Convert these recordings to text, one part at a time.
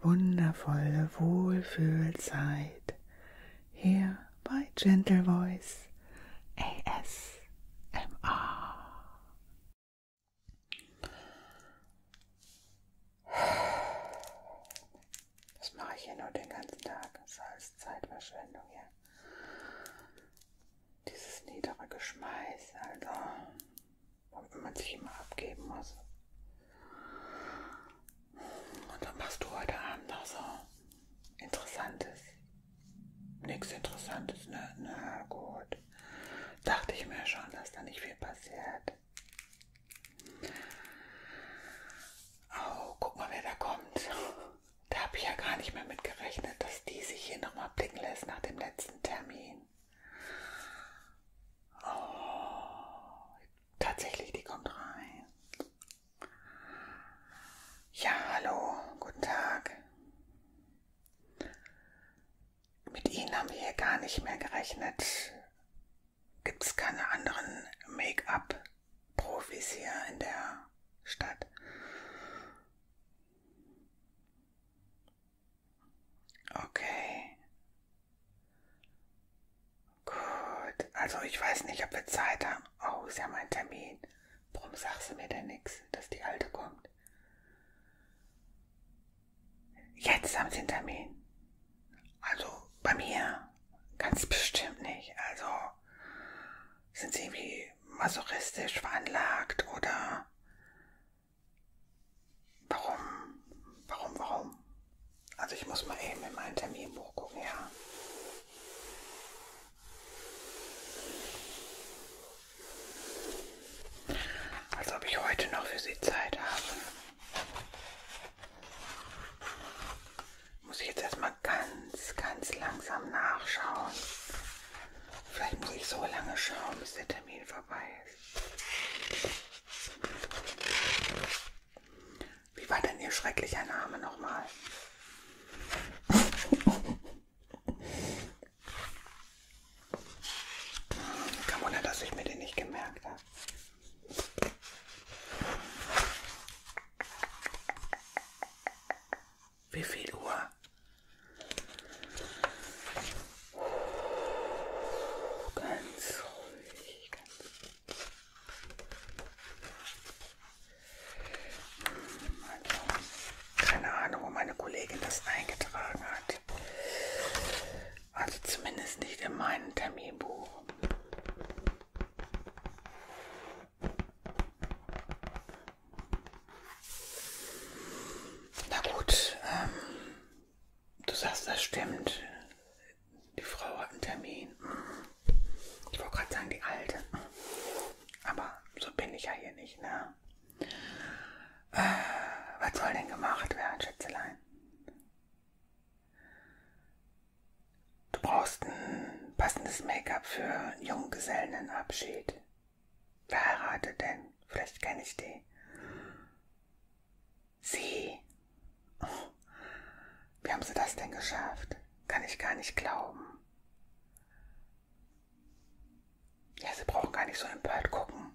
wundervolle Wohlfühlzeit hier bei Gentle Voice ASMR. Das mache ich hier nur den ganzen Tag. Das heißt Zeitverschwendung hier. Ja. Dieses niedere Geschmeiß, also wenn man sich immer abgeben muss. Und dann machst du heute Abend noch so Interessantes. Nichts Interessantes, ne? Na ne, gut. Dachte ich mir schon, dass da nicht viel passiert. Oh, guck mal, wer da kommt. Da habe ich ja gar nicht mehr mit gerechnet, dass die sich hier nochmal blicken lässt nach dem letzten Termin. Oh, tatsächlich, die kommt rein. Ja, hallo, guten Tag. Mit Ihnen haben wir hier gar nicht mehr gerechnet. Gibt es keine anderen Make-up-Profis hier in der Stadt? Okay. Gut. Also ich weiß nicht, ob wir Zeit haben. Oh, ist ja mein Termin. Warum sagst du mir denn nichts, dass die Alte kommt? Jetzt haben sie einen Termin. Also bei mir ganz bestimmt nicht. Also sind sie irgendwie masochistisch veranlagt oder Warum? Warum, warum? Also ich muss mal eben in mein Terminbuch gucken, ja. Als ob ich heute noch für Sie Zeit habe. Muss ich jetzt erstmal ganz, ganz langsam nachschauen. Vielleicht muss ich so lange schauen, bis der Termin vorbei ist. Wie war denn Ihr schrecklicher Name nochmal? Kein Wunder, dass ich mir den nicht gemerkt habe. Wie viel Uhr? Ganz ruhig. Ganz also, keine Ahnung, wo meine Kollegin das eingetragen hat. Also zumindest nicht in meinem Terminbuch. Na gut, ähm, Du sagst, das stimmt. Die Frau hat einen Termin. Ich wollte gerade sagen, die Alte. Aber so bin ich ja hier nicht, ne? Äh, was soll denn gemacht werden, Schätzelein? Du brauchst ein passendes Make-up für einen Junggesellenabschied. Wer heiratet denn? Vielleicht kenne ich die. Sie. Oh, wie haben Sie das denn geschafft? Kann ich gar nicht glauben. Ja, Sie brauchen gar nicht so empört gucken.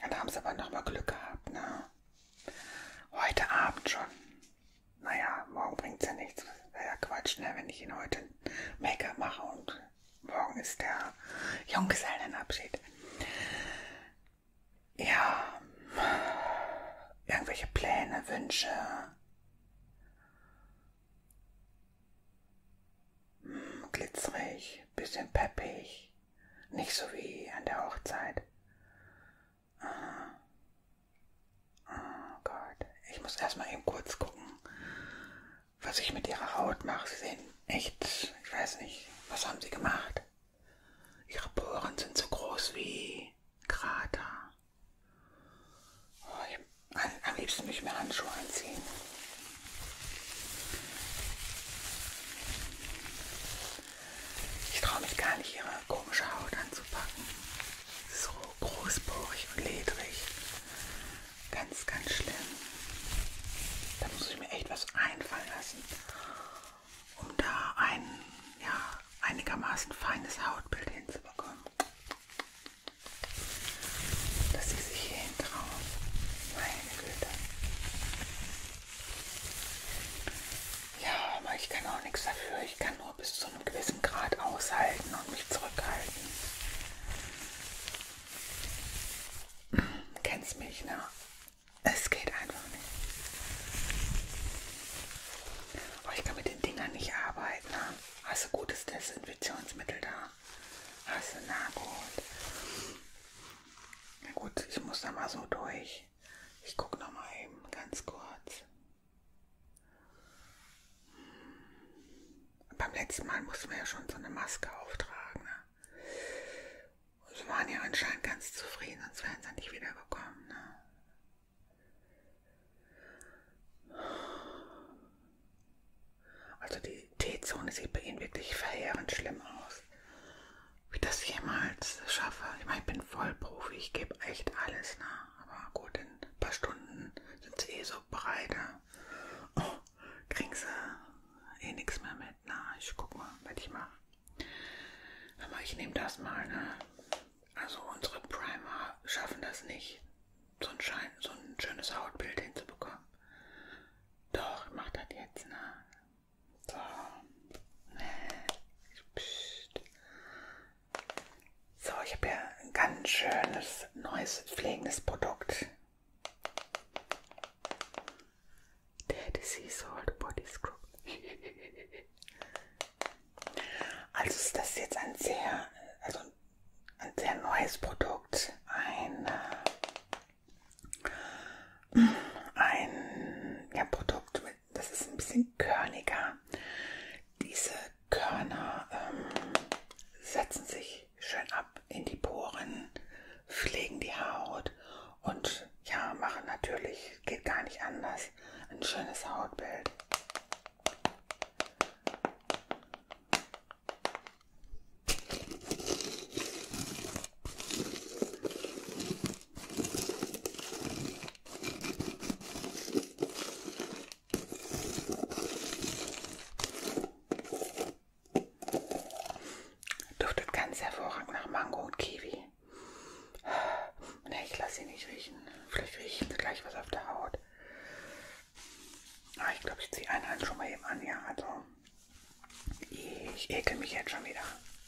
Ja, da haben Sie aber nochmal Glück gehabt, ne? Heute Abend schon. Naja, morgen bringt's ja nichts. Wäre ja Quatsch, ne, wenn ich ihn heute Make-up mache und morgen ist der Junggesellenabschied. Ja, irgendwelche Pläne, Wünsche. Hm, glitzerig, bisschen peppig, nicht so wie an der Hochzeit. Ah. Oh Gott. Ich muss erstmal eben kurz gucken, was ich mit ihrer Haut mache. Sie sehen echt, ich weiß nicht, was haben sie gemacht? Ihre Poren sind so groß wie Krater. Oh, ich, am, am liebsten würde ich mir Handschuhe anziehen. Ich traue mich gar nicht, ihre komische Haut anzupacken. Es ist roh großporig und ledrig. Ganz, ganz schlimm. Da muss ich mir echt was einfallen lassen, um da ein ja, einigermaßen feines Hautbild hinzubekommen. Dass sie sich hier hintrauen. Meine Güte. Ja, aber ich kann auch nichts dafür. Ich kann nur nur bis zu einem gewissen Grad aushalten und mich zurückhalten. Kennst mich, ne? Es geht einfach nicht. Oh, ich kann mit den Dingern nicht arbeiten. Ne? Hast du gutes Desinfektionsmittel da? Hast du? Na gut. Na gut, ich muss da mal so durch. Ich gucke noch mal eben ganz kurz. Beim letzten Mal mussten wir ja schon so eine Maske auftragen. Ne? Und also sie waren ja anscheinend ganz zufrieden, sonst wären sie nicht wiedergekommen. Ne? Also die T-Zone sieht bei ihnen wirklich verheerend schlimm aus. Wie das jemals schaffe. Ich meine, ich bin Vollprofi, ich gebe echt alles, ne? aber gut, in ein paar Stunden sind sie eh so breiter. Oh, kriegen sie eh nichts mehr mit. Na, ich guck mal, was ich mache. Aber ich nehme das mal, ne? Also unsere Primer schaffen das nicht, so ein, Schein, so ein schönes Hautbild hinzubekommen. Doch, ich mach das jetzt, ne? So. Psst. So, ich habe hier ein ganz schönes, neues, pflegendes Produkt. Der Sea Salt Body Scrub. also ist das jetzt ein sehr, also ein sehr neues Produkt. Ein, äh, ein ja, Produkt, mit, das ist ein bisschen körniger. Diese Körner ähm, setzen sich schön ab in die Poren, pflegen die Haut und ja, machen natürlich, geht gar nicht anders, ein schönes Hautbild. Duftet ganz hervorragend nach Mango und Kiwi. Ne, ich lasse sie nicht riechen. Vielleicht riechen sie gleich was auf der Haut. Ah, ich glaube, ich ziehe eine Hand halt schon mal eben an, ja. Also, ich ekel mich jetzt schon wieder.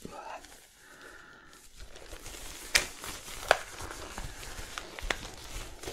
Uah.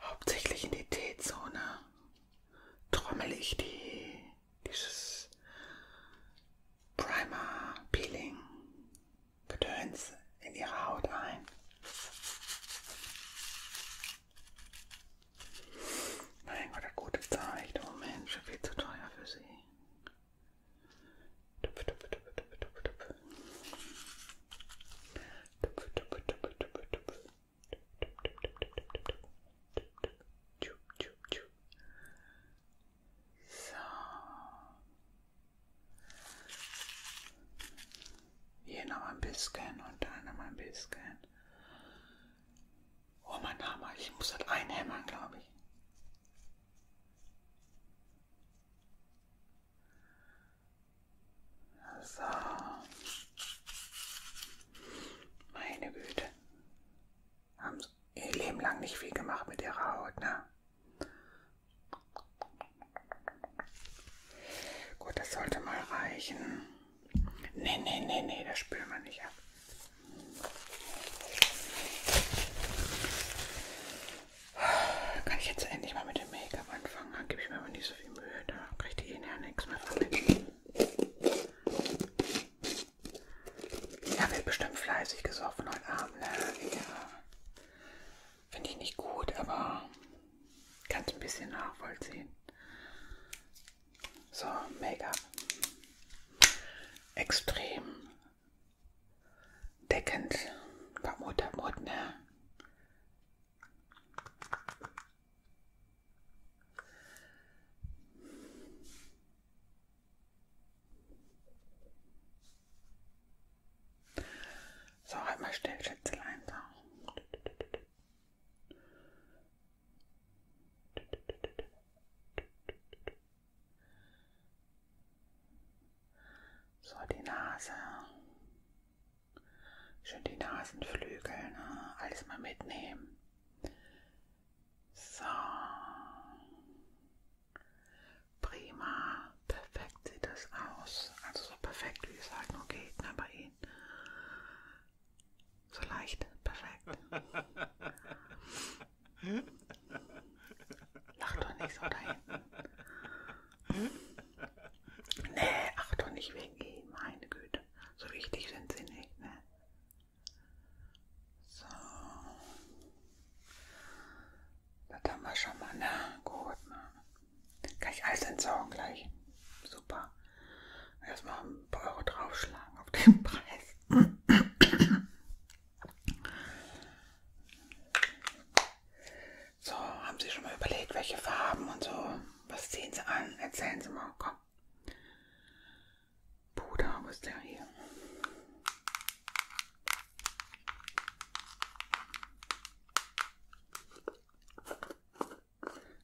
Hauptsächlich in die T-Zone trommel ich die, dieses Primer Peeling Gedöns in ihre Haut ein. Mein Gott, eine gute Zeichnung, Mensch, viel zu teuer für sie. Tupf, tupf, tupf, tupf, tupf, tupf. Tupf, tupf, tupf, tupf, tupf. Tchup, tchup, tchup. So. Hier noch ein bisschen und da noch ein bisschen. Oh, mein Hammer, ich muss das einhämmern, glaube ich. So. Meine Güte. Haben ihr Leben lang nicht viel gemacht mit ihrer Haut, ne? Gut, das sollte mal reichen. Nee, nee, nee, nee, das spülen wir nicht ab. Kann ich jetzt endlich mal mit dem Make-up anfangen? Dann gebe ich mir aber nicht so viel Mühe. Da kriegt ihr eh ja nichts mehr von mir. Ja, wird bestimmt fleißig gesoffen heute Abend. Ne? Ja. Finde ich nicht gut, aber Kannst ein bisschen nachvollziehen. So, Make-up. Extrem deckend. Muttermut, ne? So, einmal halt still, Schätzelein. So. So, die Nase. Schön die Nasenflügel, ne? alles mal mitnehmen. So. Prima. Perfekt sieht das aus. Also so perfekt, wie es halt nur geht ne, bei sehen. So leicht, perfekt. Lach doch nicht so dahin. Nee, ach doch nicht wegen ihm, meine Güte. So wichtig sind sie nicht, ne? So. Das haben wir schon mal, ne? Gut, ne? Kann ich alles entsorgen gleich. Super. Erstmal ein paar Euro draufschlagen auf den Preis. So, haben Sie schon mal überlegt, welche Farben und so? Was ziehen Sie an? Erzählen Sie mal, komm. Bruder, wo ist der hier?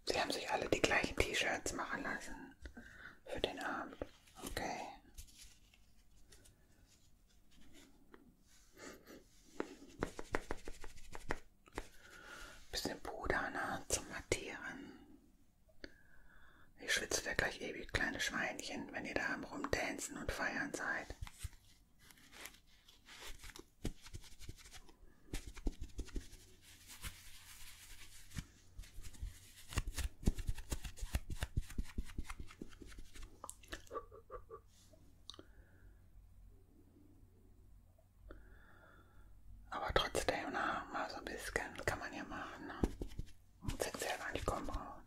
Sie haben sich alle die gleichen T-Shirts machen lassen für den Abend. Okay. Bisschen Puder ne, zum Mattieren. Ich schwitze ja gleich ewig eh kleine Schweinchen, wenn ihr da am Rumdancen und Feiern seid. Aber trotzdem, na, ne, mal so ein bisschen kann man ja machen. Ne? Jetzt hätte sie ja gar nicht kommen brauchen.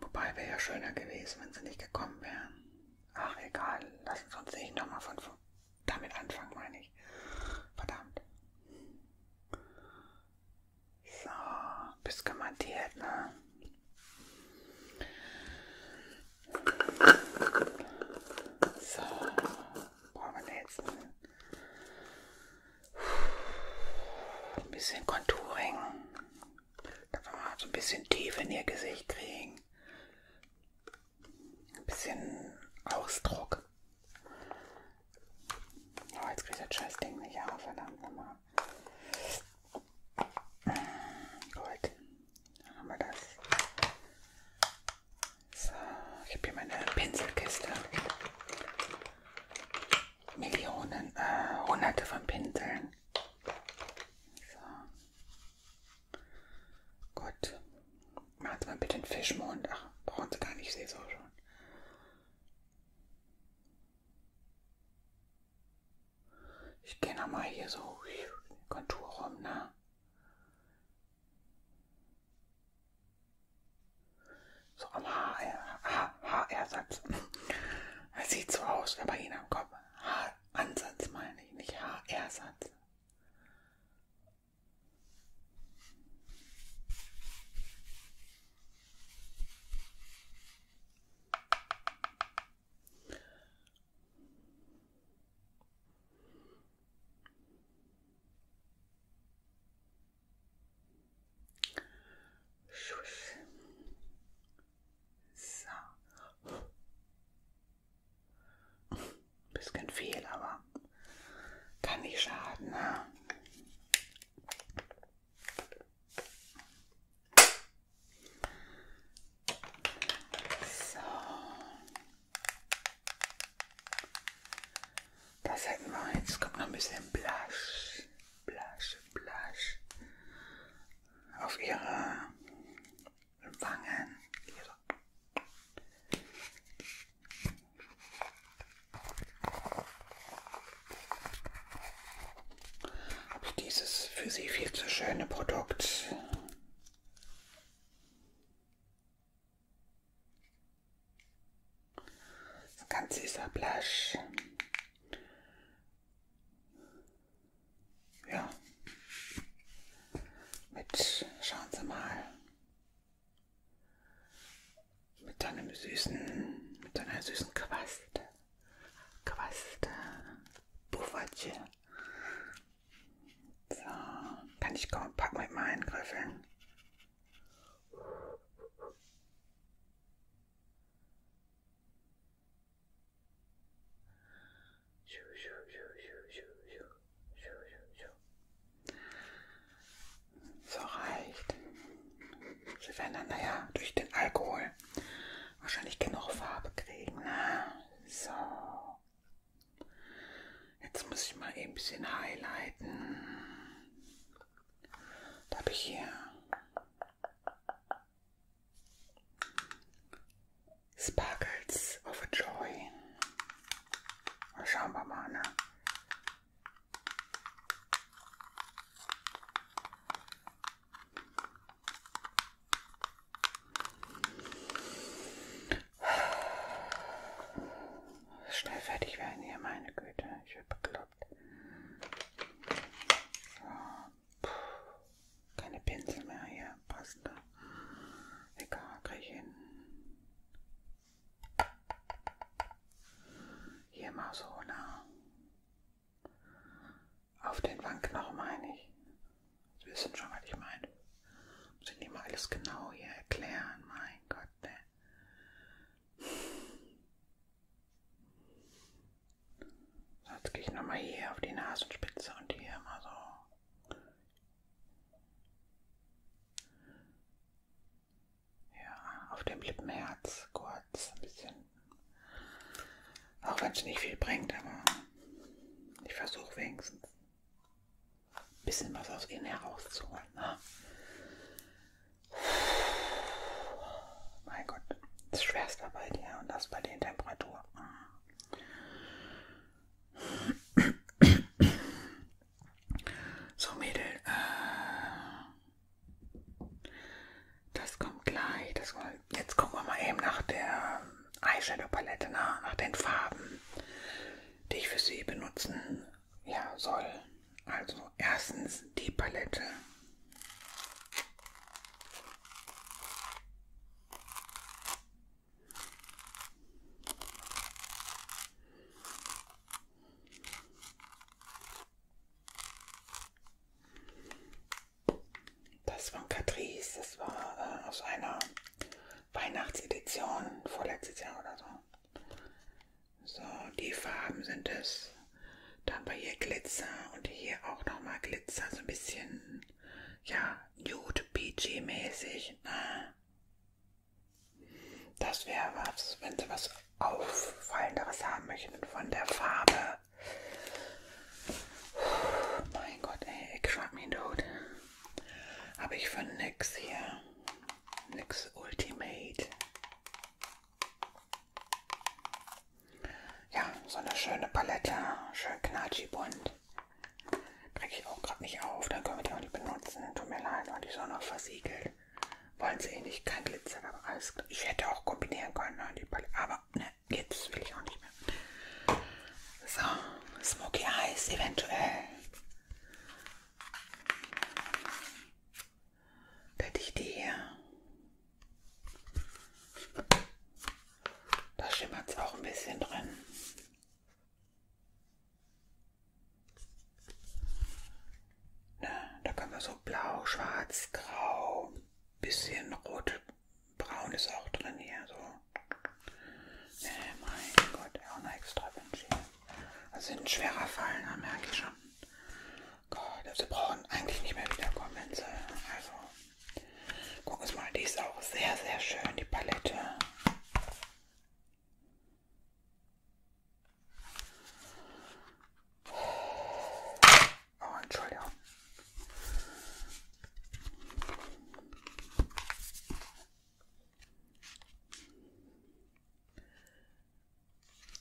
Wobei wäre ja schöner gewesen, wenn sie nicht gekommen wären. Ach, egal. Lass uns nicht nochmal von, von damit anfangen, meine ich. Verdammt. So, bist kommandiert, ne? So, brauchen wir jetzt ein, ein bisschen Contouring. Da wollen wir mal so ein bisschen Tiefe in ihr Gesicht kriegen. Ein bisschen Ausdruck. Oh, jetzt kriege ich das scheiß Ding nicht auf, verdammt nochmal. Gut, dann haben wir das. So, ich habe hier meine Pinselkiste. Millionen, äh, hunderte von Pinseln. So. Gut. Machen Sie mal bitte einen Fischmond. Ach, brauchen Sie gar nicht, ich sehe es auch schon. Ich gehe nochmal hier so Kontur rum, ne? So am HR-Satz. HR, HR sieht so aus, aber ihn am Kopf. Haar, Ansatz meine ich, nicht HR-Satz. So. Ein bisschen viel, aber kann nicht schaden. Ne? So. Das hätten wir jetzt. Kommt noch ein bisschen Blush. Blush, Blush. Auf ihre Wangen. Hier so. Ob ich dieses für Sie viel zu schöne Produkt das ganze ist ein Blush ja, mit, schauen Sie mal, mit einem süßen, mit einer süßen Quaste, Quaste, Puffertje. So, kann ich kaum packen mit meinen Griffeln. So reicht. Sie werden dann, naja, durch den Alkohol wahrscheinlich genug Farbe kriegen. Ne? So. Jetzt muss ich mal eben ein bisschen highlighten. Da habe ich hier Sparkles of a Joy. Schauen wir mal, ne? Schnell fertig werden hier, meine Güte. Ich bin bekloppt. So, Puh, keine Pinsel mehr hier, passende. Egal, kriege ich hin. Hier mal so, nah. Auf den Wangenknochen meine ich. Sie wissen schon, was ich meine. Muss ich nicht mal alles genau hier erklären, mein Gott, ne? Jetzt gehe ich nochmal hier auf die Nasenspitze und hier mal so. Ja, auf dem Lippenherz kurz ein bisschen. Auch wenn es nicht viel bringt, aber ich versuche wenigstens ein bisschen was aus ihnen herauszuholen. Ne? Mein Gott, das ist Schwerstarbeit, ja, und das bei den Temperaturen. So, Mädel. Äh, das kommt gleich. Das kommt. Jetzt gucken wir mal eben nach der Eyeshadow-Palette, nach, nach den Farben, die ich für sie benutzen ja, soll. Also erstens die Palette. Das von Catrice, das war äh, aus einer Weihnachtsedition vorletztes Jahr oder so. So, die Farben sind es. Dann war hier Glitzer und hier auch nochmal Glitzer, so ein bisschen, ja, Nude PG mäßig. Ne? Das wäre was, wenn sie was auffallenderes haben möchten von der Farbe. Puh, mein Gott, ey, ich schlag mich tot. Habe ich von nix hier. Nix Ultimate. Ja, so eine schöne Palette, schön knatschig bunt. Kriege ich auch gerade nicht auf, dann können wir die auch nicht benutzen. Tut mir leid, weil die Sonne versiegelt. Wollen sie eh nicht, kein Glitzer, aber alles. Ich hätte auch kombinieren können, ne, die Palette. Aber ne, jetzt will ich auch nicht mehr. So, Smoky Eyes eventuell. Hätte ich die hier. Da schimmert es auch ein bisschen drin. Na, da können wir so blau, schwarz, grau, bisschen rot, braun ist auch drin hier. So. Nee, mein Gott, auch noch extra Wünsche. Das also sind schwerer Fall, da merke ich schon. Gott, also brauchen eigentlich nicht mehr wiederkommen. Linse. Also, guck uns mal, die ist auch sehr, sehr schön, die Palette. Oh, Entschuldigung.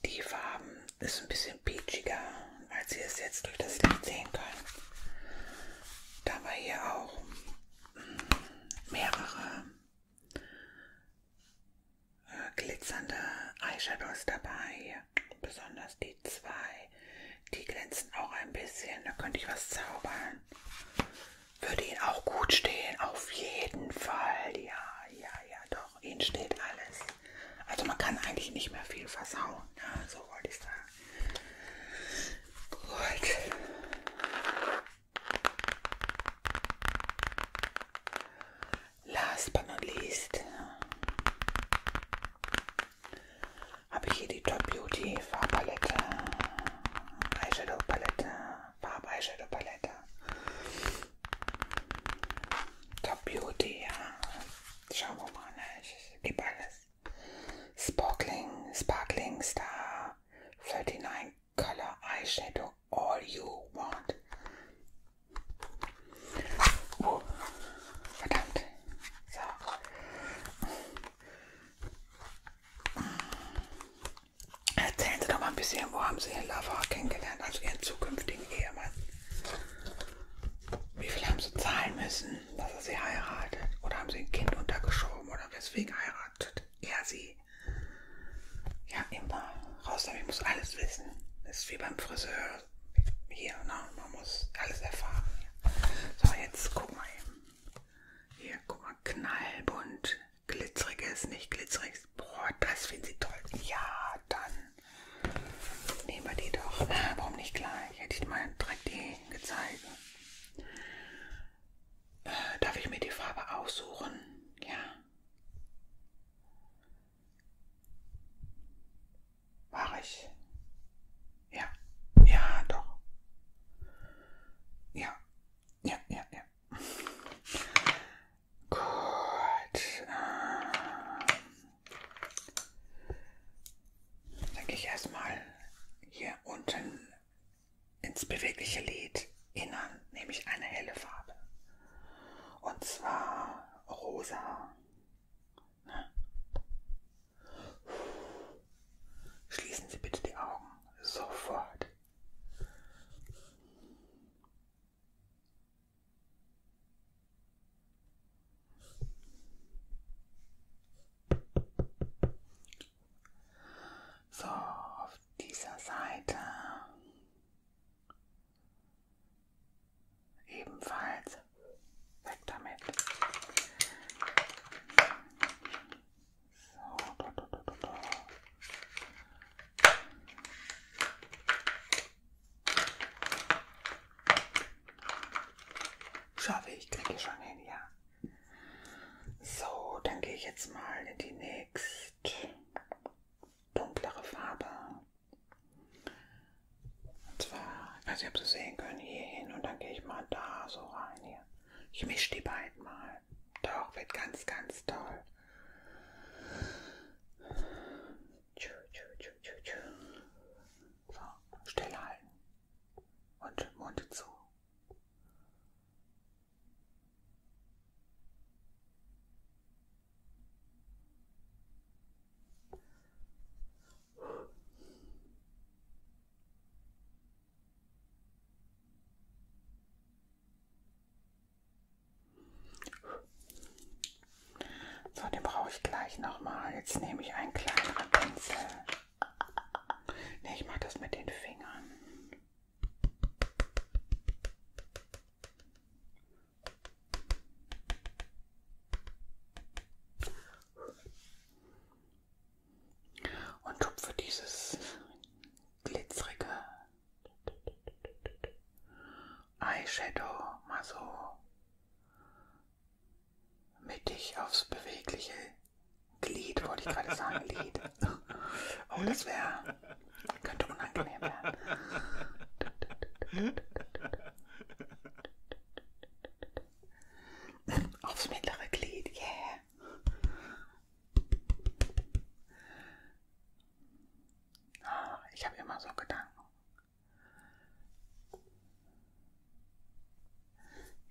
Die Farben ist ein bisschen peachiger, als ihr es jetzt durch das Licht sehen könnt. Da wir hier auch mm, mehrere äh, glitzernde Eyeshadows dabei, besonders die zwei, die glänzen auch ein bisschen, da könnte ich was zaubern. Würde Ihnen auch gut stehen, auf jeden Fall, ja, ja, ja, doch, Ihnen steht alles. Also man kann eigentlich nicht mehr viel versauen. Ja, ne? so wollte ich sagen. Gut. Last but not least habe ich hier die Top Beauty Farbpalette, Eyeshadow Palette, Farb Eyeshadow Palette. Top Beauty, ja. Schauen wir mal, ne? ich gebe alles. Sparkling, Sparkling Star 39 Color Eyeshadow, all you want. Oh, verdammt. So. Erzählen Sie doch mal ein bisschen, wo haben Sie Ihren Lover kennengelernt, also Ihren zukünftigen Ehemann? Wie viel haben sie zahlen müssen, dass er sie heiratet? Oder haben sie ein Kind untergeschoben? Oder weswegen heiratet er sie? Ja, immer. Raus damit, ich muss alles wissen. Das ist wie beim Friseur. Hier, ne? man muss alles erfahren. So, jetzt guck mal eben. Hier, guck mal, knallbunt. Glitzeriges, nicht glitzeriges. Boah, das finden sie toll. Ja, dann Nehmen wir die doch. Äh, warum nicht gleich? Hätte ich mal direkt die gezeigt. Äh, darf ich mir die Farbe aussuchen? Ja. War ich? Ja. Ja, doch. Ja. Ja, ja, ja. Gut. Ähm, dann gehe ich erstmal hier unten ins bewegliche Lid innern, nehme ich eine helle Farbe. Und zwar rosa. Ne? Schließen Sie bitte die Augen sofort. So, auf dieser Seite ebenfalls weg damit. So, do, do, do, do, do. Schaffe ich, kriege ich schon hin, ja. So, dann gehe ich jetzt mal in die nächst dunklere Farbe. Und zwar, ich weiß nicht, ob Sie sehen können, hier hin und dann gehe ich mal da so rein hier. Ich mische die beiden mal. Doch, wird ganz, ganz toll. So, stillhalten und Mund zu. So, den brauche ich gleich nochmal. Jetzt nehme ich einen kleineren Pinsel. Ne, ich mache das mit den Fingern. Und tupfe dieses glitzerige Eyeshadow mal so mittig aufs bewegliche Glied, wollte ich gerade sagen, Lied. Oh, das wäre, könnte unangenehm werden. Aufs mittlere Glied, yeah. Oh, ich habe immer so Gedanken.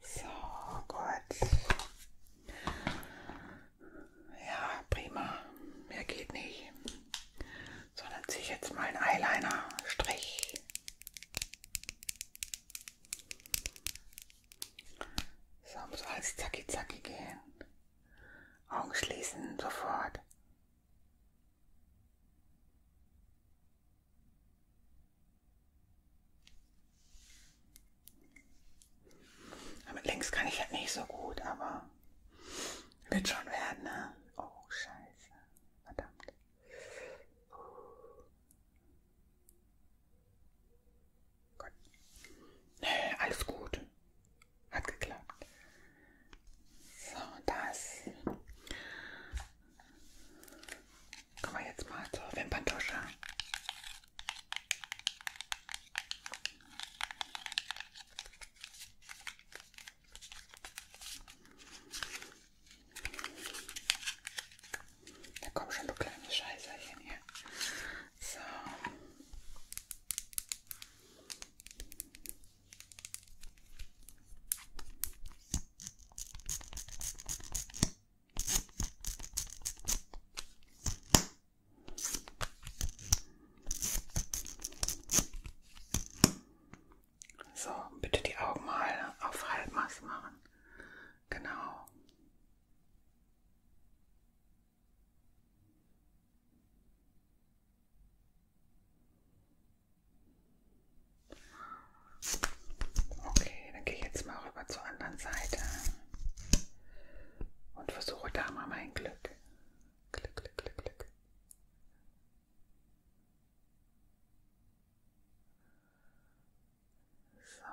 So, gut. Ja, prima. Mehr geht nicht. Sondern ziehe ich jetzt mal einen Eyeliner-Strich. So, muss alles zacki zacki gehen. Augen schließen, sofort. Mit links kann ich halt nicht so gut, aber wird schon werden, ne? Oh, scheiße. Verdammt. Gott. Nee, äh, alles gut. Hat geklappt. So, das kommen wir jetzt mal zur Wimperntusche. Da kommt schon du kleine Scheißerchen hier. So. So, bitte die Augen mal auf Halbmaß machen. Genau. Okay, dann gehe ich jetzt mal rüber zur anderen Seite und versuche da mal mein Glück. Glück, Glück, Glück, Glück. So.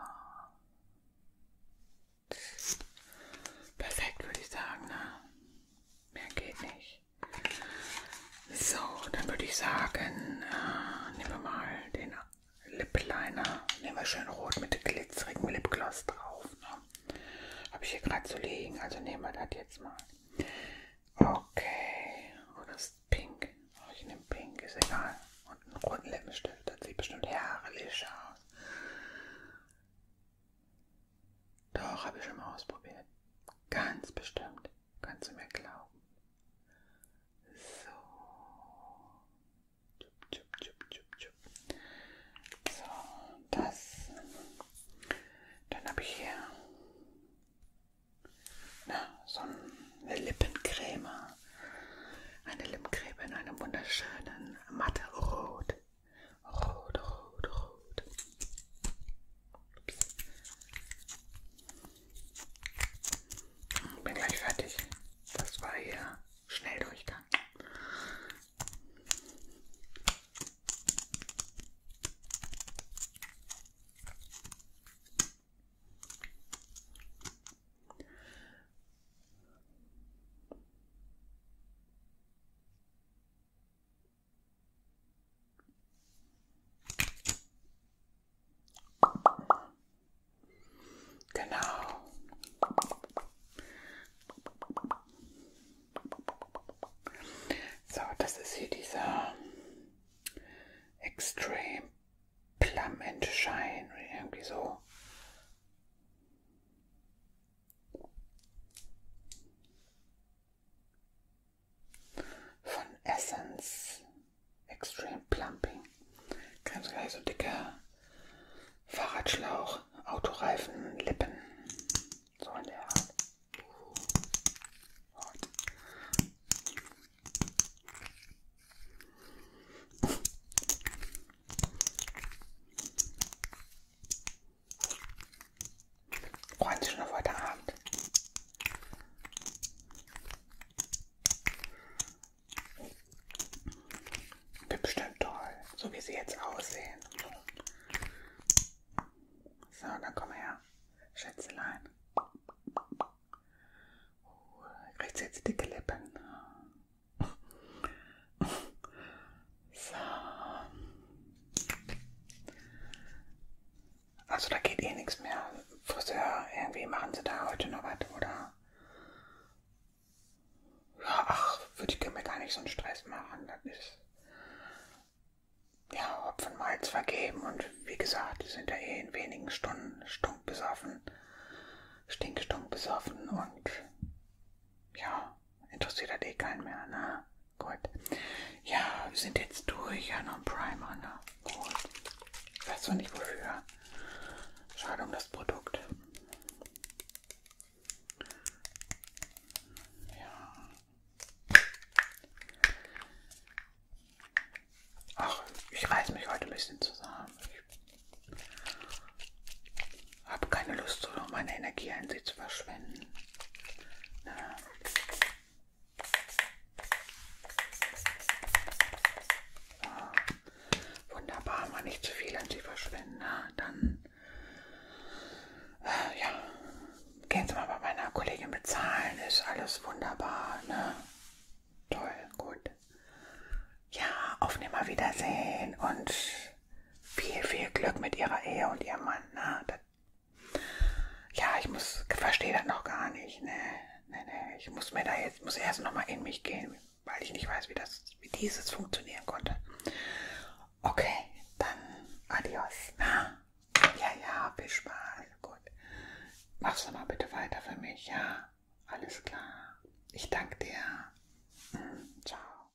Perfekt, würde ich sagen. Ne? Mehr geht nicht. So, dann würde ich sagen, äh, nehmen wir mal den Lip Liner. Nehmen wir schön rot mit glitzerigem Lipgloss drauf. Ne? Habe ich hier gerade zu liegen, also nehmen wir das jetzt mal. Okay, oh, das ist pink. Oh, ich nehme pink, ist egal. Und einen roten Lippenstift, das sieht bestimmt herrlich aus. Doch, habe ich schon mal ausprobiert. Ganz bestimmt. Kannst du mir glauben. So. So, das. Dann habe ich hier na, so eine Lippencreme. Eine Lippencreme in einem wunderschönen matte Rot. Rot, rot, rot. Ups. Bin gleich fertig. Das war hier schnell durchgang. Genau. So, das ist hier dieser Extreme Plum and Shine, irgendwie so. Von Essence Extreme Plumping. Ganz gleich so dicker Fahrradschlauch, Autoreifen, Lippen. So in der Art. Freuen Sie schon auf heute Abend. Wird bestimmt toll, so wie sie jetzt aussehen. So, dann komm her, Schätzelein. Kriegt oh, sie jetzt dicke Lippen? So. Also da geht eh nichts mehr. Friseur, irgendwie machen sie da heute noch was, oder? Ja, ach, würde ich mir gar nicht so einen Stress machen. Das ist ja Hopfen Malz vergeben und wie gesagt, die sind ja eh in wenigen Stunden stumpf besoffen, stinkstumpf besoffen und ja, interessiert hat eh keinen mehr, ne? Gut. Ja, wir sind jetzt durch. Ja, noch ein Primer, ne? Gut. Weißt du nicht wofür? Schade um das Produkt. Ja. Ach, ich reiß mich heute ein bisschen zusammen. Ich habe keine Lust, so noch meine Energie an sie zu verschwenden. Ja. Ja. Ah, wunderbar, mal nicht zu viel an sie verschwenden. Na, dann äh, ja, gehen Sie mal bei meiner Kollegin bezahlen. Ist alles wunderbar. Ne? Toll, gut. Ja, auf Nimmerwiedersehen und und viel, viel Glück mit ihrer Ehe und ihrem Mann. Na, ne? das, ja, ich muss, verstehe das noch gar nicht. Ne, ne, ne. Ich muss mir da jetzt, muss erst nochmal in mich gehen, weil ich nicht weiß, wie das, wie dieses funktionieren konnte. Okay, dann adios. Na? Ne? Ja, ja, viel Spaß. Gut. Mach's doch mal bitte weiter für mich, ja? Alles klar. Ich danke dir. Mhm, ciao.